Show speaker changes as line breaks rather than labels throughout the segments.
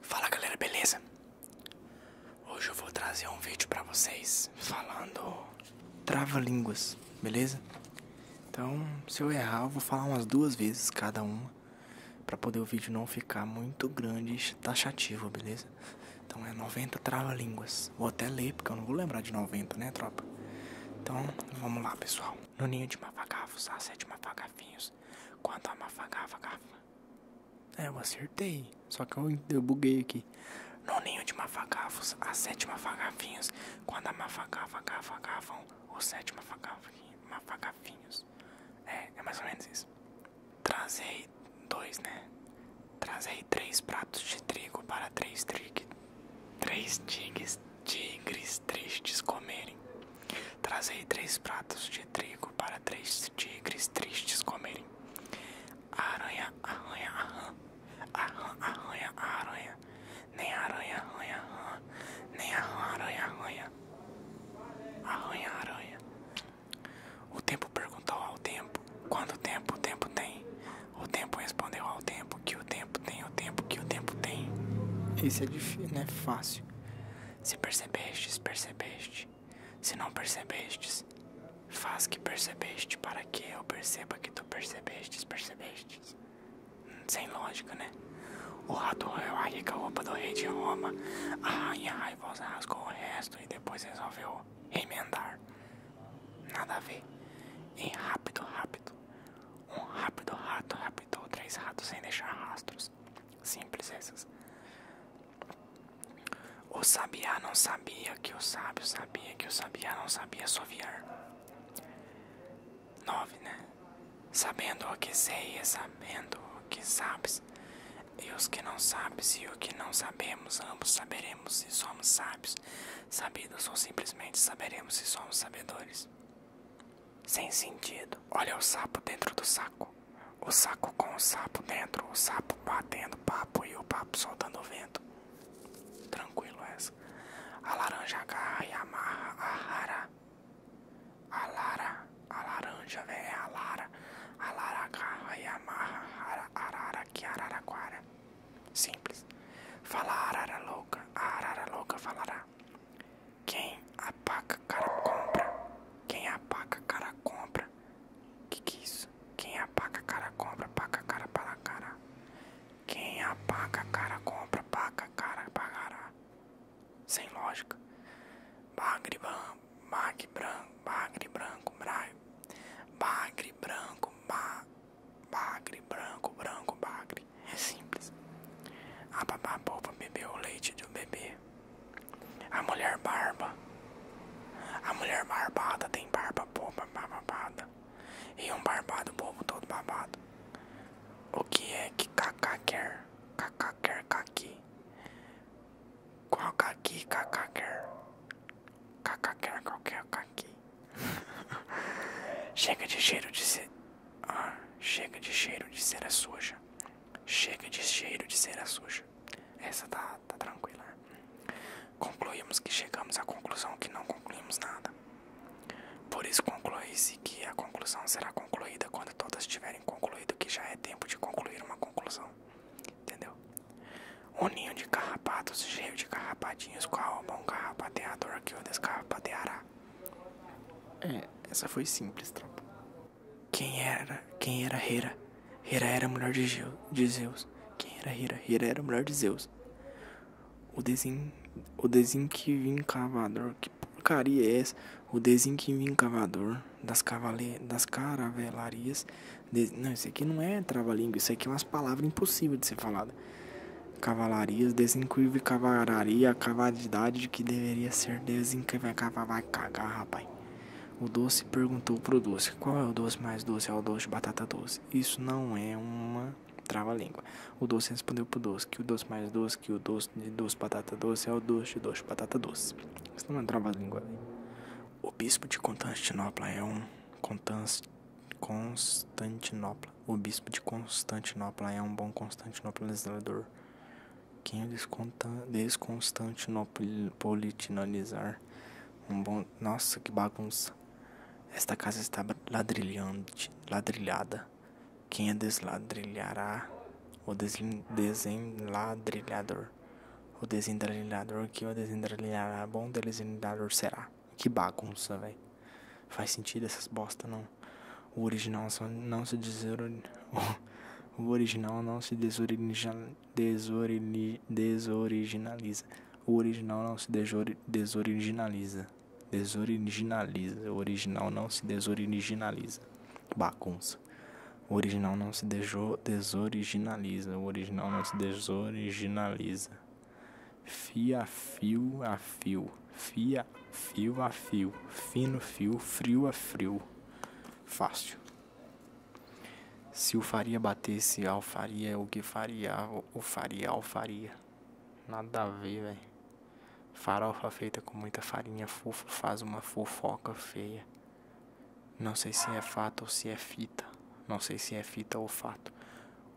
Fala galera, beleza? Hoje eu vou trazer um vídeo pra vocês falando
trava-línguas, beleza? Então, se eu errar, eu vou falar umas duas vezes cada uma pra poder o vídeo não ficar muito grande e taxativo, beleza? Então é 90 trava-línguas. Vou até ler, porque eu não vou lembrar de 90, né,
tropa? Então, vamos lá, pessoal. No ninho de mafagafos há sete mafagafinhos. Quanto a mafagafa, é, eu acertei. Só que eu, buguei aqui. No ninho de mafagafos, a sétima mafagafinhos. Quando a mafagafa agafam, os sete mafagafinhos. É, é mais ou menos isso. Trazei dois, né? Trazei três pratos de trigo para três, tri... três tigres, tigres tristes comerem. Trazei três pratos de trigo para três tigres tristes comerem. Aranha, aranha aranha aranha aranha aranha. Nem aranha, aranha aranha Nem aranha aranha, aranha aranha aranha. O tempo perguntou ao tempo: Quanto tempo o tempo tem? O tempo respondeu ao tempo que o tempo tem, o tempo que o tempo tem. Isso é difícil, não é fácil. Se percebestes, percebeste. Se não percebestes, faz que percebeste, para que eu perceba que tu percebestes, percebestes. Sem lógica, né? O rato roeu a rica roupa do rei de Roma. A rainha raivosa rasgou o resto e depois resolveu emendar. Nada a ver. em rápido, rápido. Um rápido rato raptou três ratos sem deixar rastros. Simples essas. O sabiá não sabia que o sábio sabia que o sabiá não sabia soviar. 9, né? Sabendo o que sei e sabendo o que sabes, e os que não sabes e o que não sabemos, ambos saberemos se somos sábios, sabidos ou simplesmente saberemos se somos sabedores sem sentido. Olha o sapo dentro do saco. O saco com o sapo dentro, o sapo batendo papo e o papo soltando o vento. Tranquilo essa. A laranja agarra e amarra a rara. A lara, a laranja, velho, é a lara. A lara agarra e amarra rara, arara que araraquara. Simples. Fala arara louca, a arara louca falará. Quem apaga, cara compra. Quem apaga, cara compra. Que que é isso? Quem apaga, cara compra, paga cara para cara. Quem apaga, cara compra, paga cara pagará. Sem lógica. Bagre branco, bagre branco, bagre branco, braio. Bagre branco, ba, bagre branco, branco, bagre. É simples. A ah, babá boba bebeu o leite do bebê. A mulher barba. A mulher barbada tem barba boba babada. E um barbado bobo todo babado. O que é que Kaká quer? Kaká quer Kaki. Qual Kaki Kaká quer? Kaká quer qualquer Kaki. chega de cheiro de ser... Ah, chega de cheiro de cera suja. Chega de cheiro de cera suja. Essa tá, tá tranquila. Concluímos que chegamos à conclusão que não concluímos nada. Por isso conclui-se que a conclusão será concluída quando todas tiverem concluído que já é tempo de concluir uma conclusão. Entendeu? Um ninho de carrapatos cheio de carrapatinhos, qual é bom carrapateador que o descarrapateará. É, essa foi simples, tropa. Quem era? Quem era Hera? Hera era mulher de, Geu, de Zeus. Quem era Hera?
Hera era mulher de Zeus. O desenho, o desenquivincavador, que porcaria é essa? O cavador das, cavale, das caravelarias. não, isso aqui não é trava-língua, isso aqui é umas palavras impossíveis de ser falada. Cavalarias, vim cavalaria idade de que deveria ser Deus em que vai cagar, vai cagar, rapaz. O doce perguntou pro doce: qual é o doce mais doce? É o doce de batata doce. Isso não é uma trava-língua. O doce respondeu pro doce: que o doce mais doce, que o doce de doce batata doce é o doce de doce batata doce. Isso não é trava-língua. Né? O bispo de Constantinopla é um. Constantinopla. O bispo de Constantinopla é um bom constantinopolizador quem é desconstantinopolitanizar um bom. Nossa, que bagunça! Esta casa está ladrilhante, ladrilhada. Quem é desladrilhará? O desenladrilhador. O desendrilhador que o desendrilhará, bom desenladrilhador será. Que bagunça, velho. Faz sentido essas bosta, não? O original não se desori... O original não se desoriginaliza. Desori... Desoriginaliza. O original não se desori... desoriginaliza. Desoriginaliza. O original não se desoriginaliza. Bagunça. O original não se dejo... desoriginaliza. O original não se desoriginaliza. Fia fio a fio. Fia fio a fio, fino fio, frio a frio. Fácil. Se o faria batesse ao é o que faria, o faria alfaria. Nada a ver, velho. Farofa feita com muita farinha fofa faz uma fofoca feia. Não sei se é fato ou se é fita. Não sei se é fita ou fato.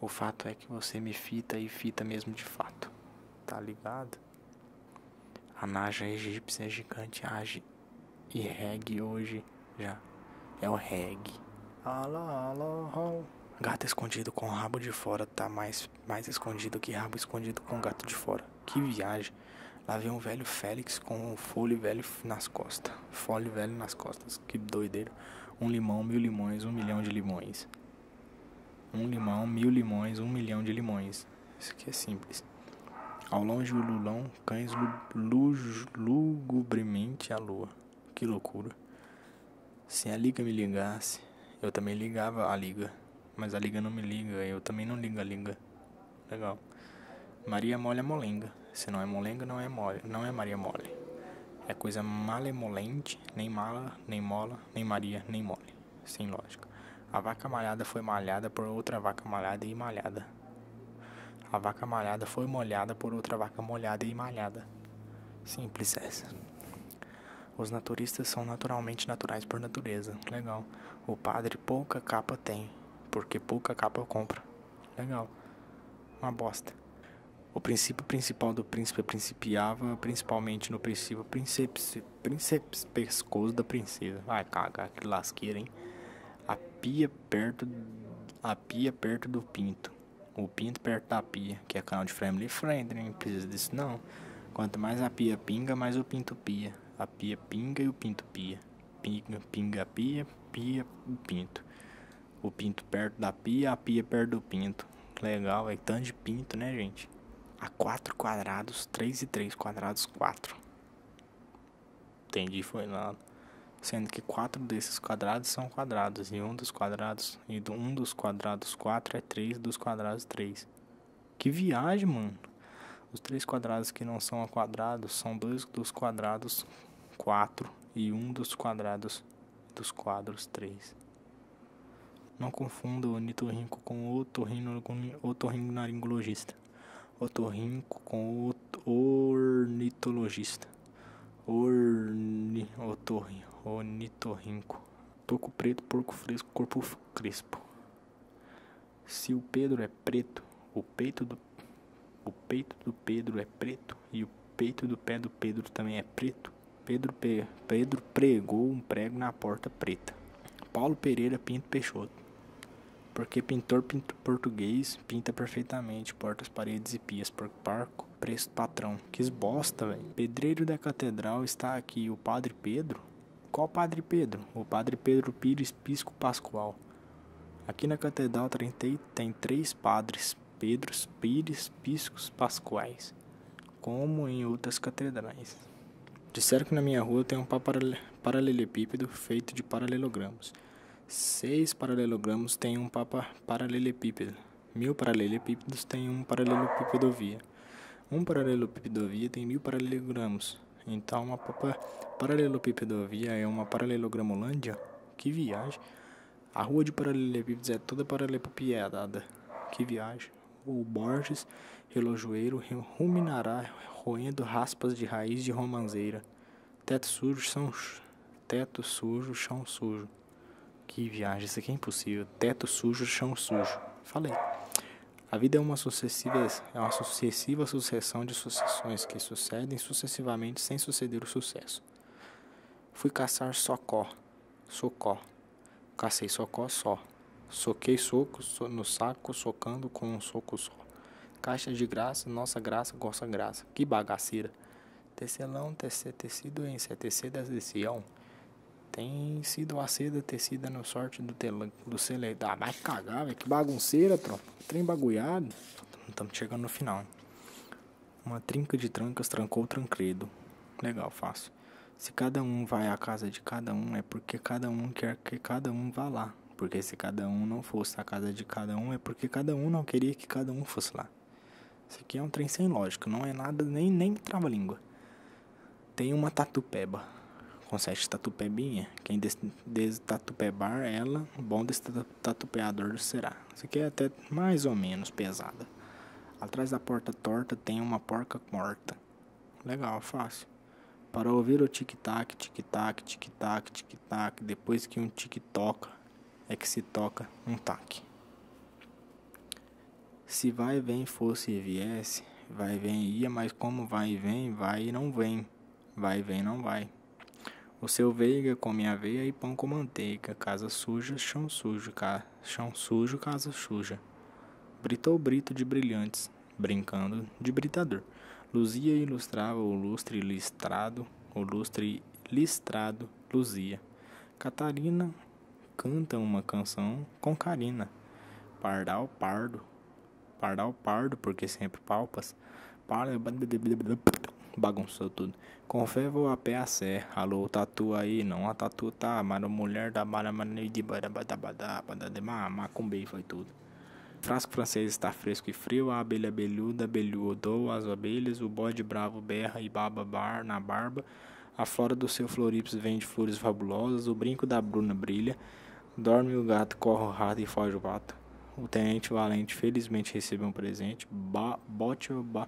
O fato é que você me fita e fita mesmo de fato. Tá ligado? A Naja egípcia gigante age e regue hoje já. É o regue. Alá, alá, Gato escondido com rabo de fora tá mais, mais escondido que rabo escondido com gato de fora. Que viagem. Lá vem um velho Félix com um fole velho nas costas. Fole velho nas costas. Que doideiro. Um limão, mil limões, um milhão de limões. Um limão, mil limões, um milhão de limões. Isso aqui é simples. Ao longe o lulão, cães lugubremente à lua. Que loucura. Se a liga me ligasse, eu também ligava a liga. Mas a liga não me liga, eu também não ligo a liga. Legal. Maria mole é molenga. Se não é molenga, não é mole, não é Maria mole. É coisa malemolente, nem mala, nem mola, nem Maria, nem mole sem lógica. A vaca malhada foi malhada por outra vaca malhada e malhada. A vaca malhada foi molhada por outra vaca molhada e malhada. Simples essa. Os naturistas são naturalmente naturais por natureza. Legal. O padre pouca capa tem, porque pouca capa eu compro. Legal. Uma bosta. O princípio principal do príncipe principiava principalmente no princípio príncipe príncipe pescoço da princesa. Vai cagar, que lasqueira, hein? A pia perto a pia perto do pinto. O pinto perto da pia, que é canal de Family Friend, não precisa disso não. Quanto mais a pia pinga, mais o pinto pia. A pia pinga e o pinto pia. Pinga, pinga pia, pia o pinto. O pinto perto da pia, a pia perto do pinto. Legal, é tanto de pinto, né, gente? há 4 quadrados, 3 e 3 quadrados, 4. Entendi, foi nada. Sendo que quatro desses quadrados são quadrados, e um dos quadrados, e um dos quadrados 4 é 3 dos quadrados 3. Que viagem, mano! Os três quadrados que não são quadrados são dois dos quadrados 4 e um dos quadrados dos quadros 3. Não confunda o ornitorrinco com o otorrinolaringologista. Otorrinco com o ornitologista. Orni, otorri, ornitorrinco. Toco preto, porco fresco, corpo crespo. Se o Pedro é preto, o peito do o peito do Pedro é preto e o peito do pé do Pedro também é preto. Pedro, Pe... Pedro pregou um prego na porta preta. Paulo Pereira Pinto Peixoto. Porque pintor pinto português pinta perfeitamente portas, paredes e pias por parco, preço patrão. Que bosta, velho. Pedreiro da catedral está aqui o Padre Pedro. Qual Padre Pedro? O Padre Pedro Pires Pisco Pascoal. Aqui na Catedral 30 tem três padres, Pedros, Pires, Piscos, Pascoais como em outras catedrais. Disseram que na minha rua tem um paralelepípedo feito de paralelogramos. Seis paralelogramos têm um papa paralelepípedo. Mil paralelepípedos têm um paralelepípedo via. Um paralelepípedo via tem mil paralelogramos. Então, uma paralelepípedo via é uma paralelogramolândia? Que viagem! A rua de paralelepípedos é toda paralelepipedada. Que viagem! o Borges, relojoeiro, ruminará roendo raspas de raiz de romanceira Teto sujo, são teto sujo, chão sujo. Que viagem, isso aqui é impossível. Teto sujo, chão sujo. Falei. A vida é uma sucessiva, é uma sucessiva sucessão de sucessões que sucedem sucessivamente sem suceder o sucesso. Fui caçar socó, socó. Cacei socó só. Soquei soco no saco, socando com um soco só. Caixa de graça, nossa graça, gosta graça. Que bagaceira. Tecelão, tece, tecido em CTC da decisão. Tem sido a seda tecida no sorte do, telan, do celeitar. Ah, vai cagar, Que bagunceira, tropa. Trem bagulhado. Estamos chegando no final. Uma trinca de trancas trancou o tranquedo. Legal, fácil. Se cada um vai à casa de cada um, é porque cada um quer que cada um vá lá. Porque se cada um não fosse à casa de cada um, é porque cada um não queria que cada um fosse lá. Isso aqui é um trem sem lógica, não é nada nem, nem trava-língua. Tem uma tatupeba, com sete tatupebinha. Quem des, des tatupebar ela, bom desse tatupeador será. Isso aqui é até mais ou menos pesada. Atrás da porta torta tem uma porca morta. Legal, fácil. Para ouvir o tic-tac, tic-tac, tic-tac, tic-tac, depois que um tic toca, é que se toca um tac. Se vai, vem, fosse e viesse, vai, vem, ia, mas como vai e vem, vai e não vem, vai, vem, não vai. O seu veiga come veia e pão com manteiga, casa suja, chão sujo, cara chão sujo, casa suja. Britou brito de brilhantes, brincando de britador. Luzia ilustrava o lustre listrado, o lustre listrado luzia. Catarina canta uma canção com Carina. Pardal pardo, pardal pardo, porque sempre palpas. Para, bagunçou tudo. Com fé a pé a sé alô, tatu aí, não a tatu. Tatuta, tá, mano, mulher da Maramana e de Macumbei foi tudo. Frasco francês está fresco e frio, a abelha belhuda, abelhu odoa as abelhas, o bode bravo berra e baba bar na barba, a flora do seu florips vem de flores fabulosas, o brinco da Bruna brilha, dorme o gato, corre o rato e foge o pato. O tenente valente felizmente recebeu um presente, bote, ba,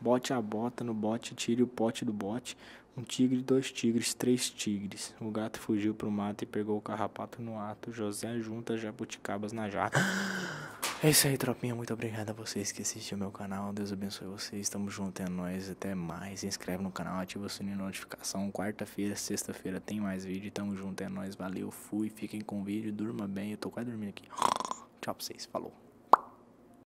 bote a bota no bote, tire o pote do bote, um tigre, dois tigres, três tigres. O gato fugiu pro mato e pegou o carrapato no ato. José junta jabuticabas na jaca. É isso aí, tropinha. Muito obrigado a vocês que assistem o meu canal. Deus abençoe vocês. Estamos juntos, é nóis. Até mais. Se inscreve no canal, ativa o sininho de notificação. Quarta-feira, sexta-feira tem mais vídeo. Tamo junto, é nóis. Valeu, fui. Fiquem com o vídeo. Durma bem. Eu tô quase dormindo aqui. Tchau pra vocês. Falou.